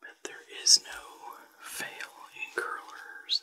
But there is no fail in curlers.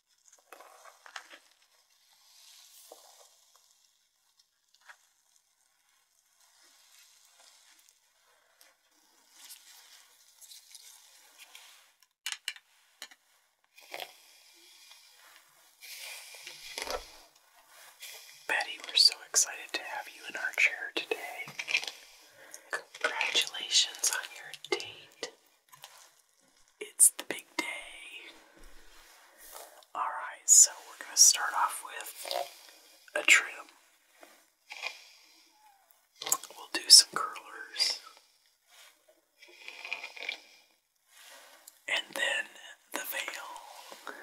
Betty, we're so excited to have you in our chair today. Congratulations on your date. It's the big day. Alright, so we're going to start off with a trim. We'll do some curlers. And then the veil.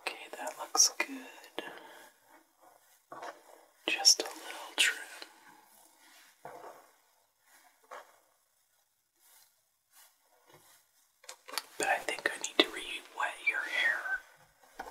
Okay, that looks good. Just a little trim. But I think I need to re-wet your hair.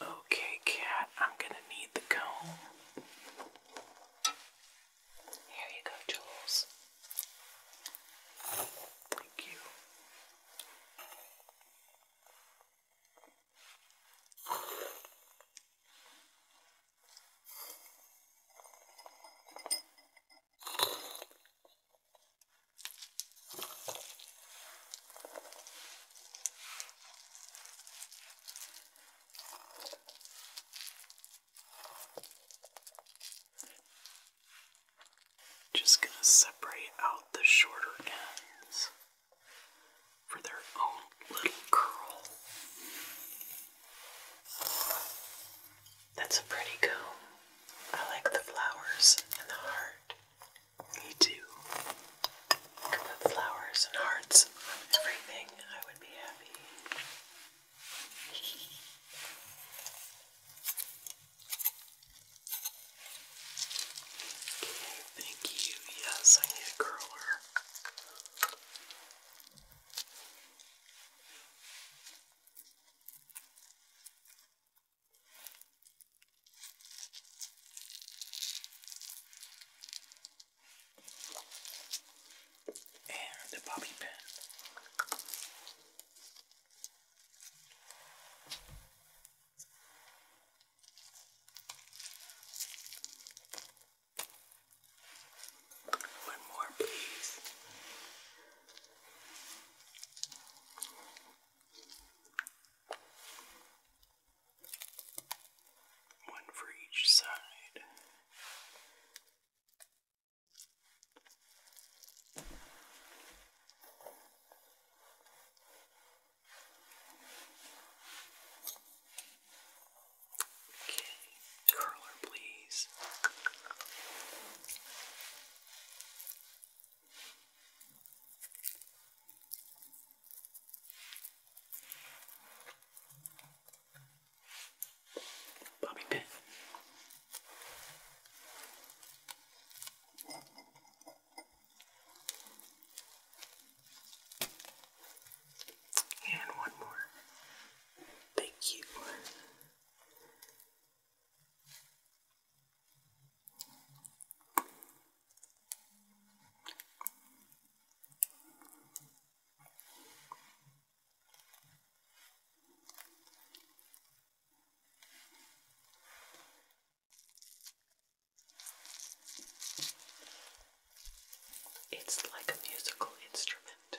Okay, cat, I'm gonna need the comb. Here you go, Jules. Thank you. Just going to separate out the shorter ends for their own little curl. That's a pretty comb. I like the flowers and the heart. Me too. You flowers and hearts on everything. I would be happy. okay, thank you. Yes, I need a curler and the bobby pin. One more, please. One for each side. Okay, curler, please. Bobby Pitt. And one more. Thank you. It's like a musical instrument.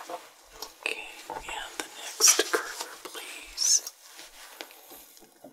Okay, and the next curler, please. Okay,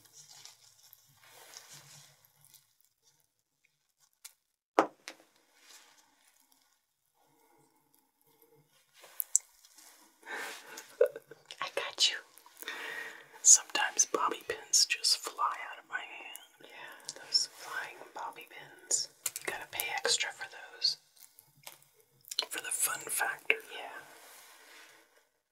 I got you. Sometimes bobby pins just fly out of my hand. Yeah, those flying bobby pins. You gotta pay extra for those. For the fun factor. Yeah.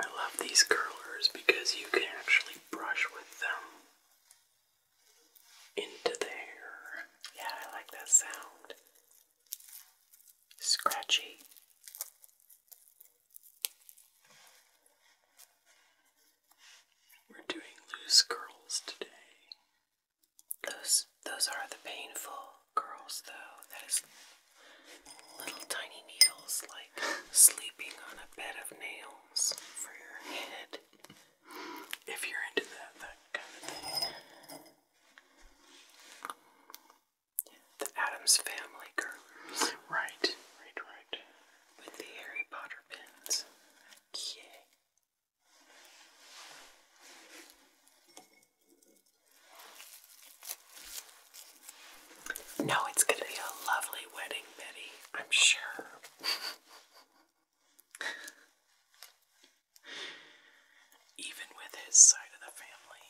I love these curlers because you can actually brush with them into the hair. Yeah, I like that sound. Scratchy. We're doing loose curls today. Loose those are the painful girls though. That is little tiny needles like sleeping on a bed of nails for your head. If you're into that that kind of thing. The Adams Family curlers. Right, right, right. With the Harry Potter pins. Yeah. No, it's going to be a lovely wedding, Betty, I'm sure. Even with his side of the family.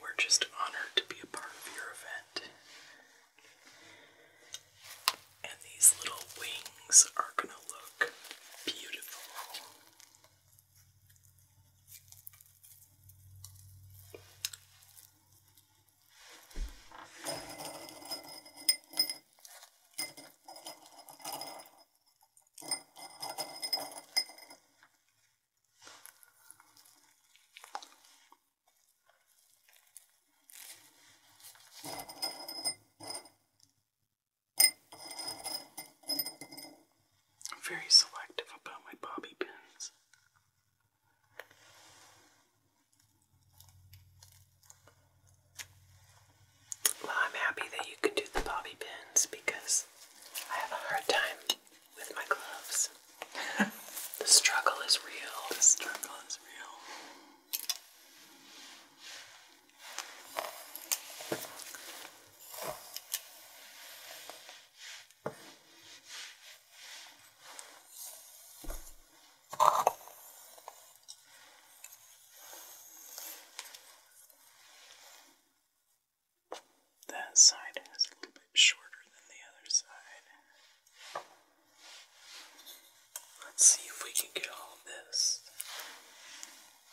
We're just honored to be a part of your event. And these little wings are gonna look beautiful. I'm very selective about my bobby pins. Well, I'm happy that you could do the bobby pins because I have a hard time with my gloves. the struggle is real. The struggle is real. That side is a little bit shorter than the other side. Let's see if we can get all of this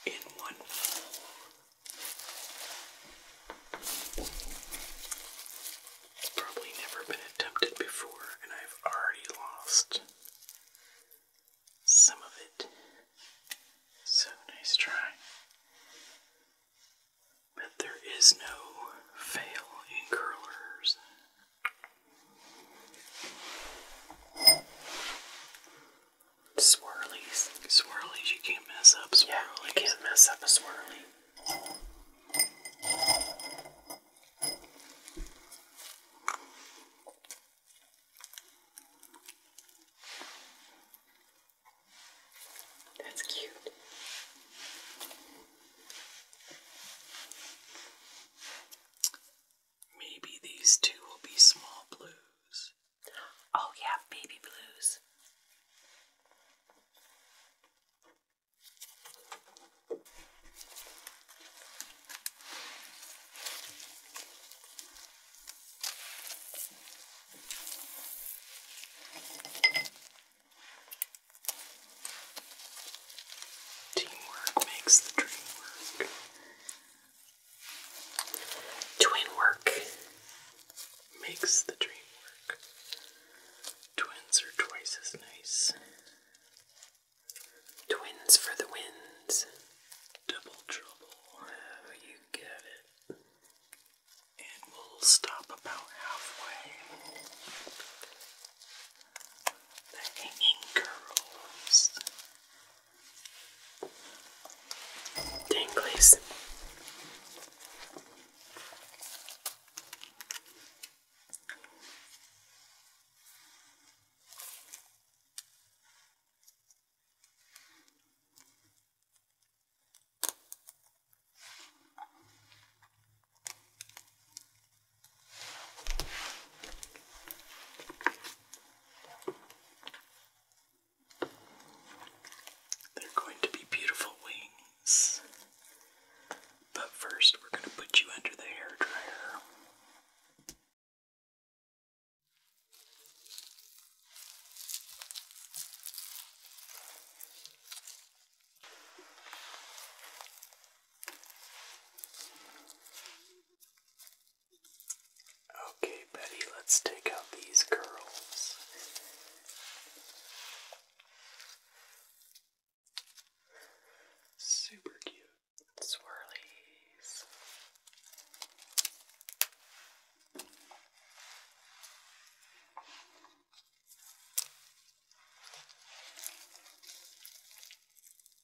in one bowl. It's probably never been attempted before, and I've already lost some of it. So nice try. But there is no fail in curlers. Swirlies. Swirlies, you can't mess up swirlies. can't mess up a swirly. That's cute. Maybe these two will be small blues. Oh, yeah, baby blues. Teamwork makes the dream work. Twin work makes the dream work. Twins are twice as nice. Twins for the wins. Double trouble. you get it. And we'll stop about halfway. The hanging curls. Dinglies. They're going to be beautiful wings. But first, we're going to put you under the hair dryer. Okay, Betty, let's take out these curls. Super cute swirlies.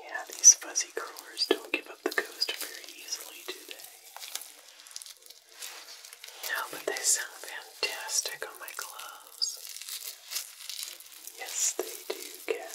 Yeah, these fuzzy curlers don't give up the ghost very easily, do they? No, but they sound fantastic on my gloves. Yes, they do, Cat.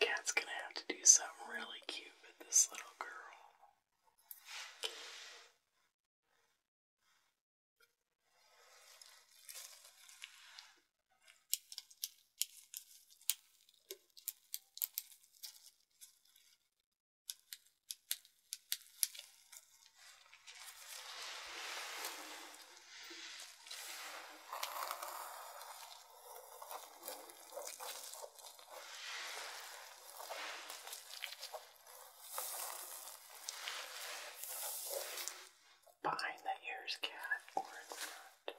Cat's gonna have to do something really cute with this little girl. Behind the ears, cat, or in front.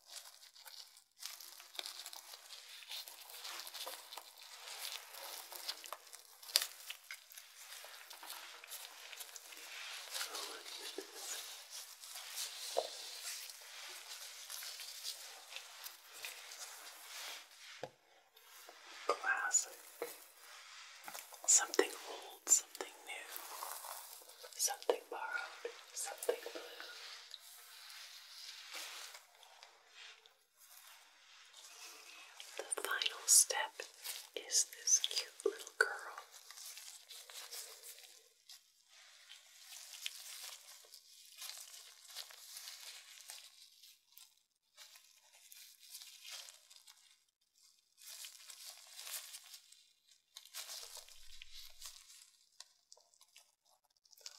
Classic. Something old, something new something borrowed, something blue. The final step is this cute little girl.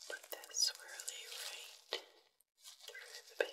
Put that swirly right through the pan.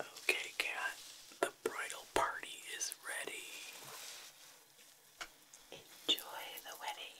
Okay, cat, the bridal party is ready. Enjoy the wedding.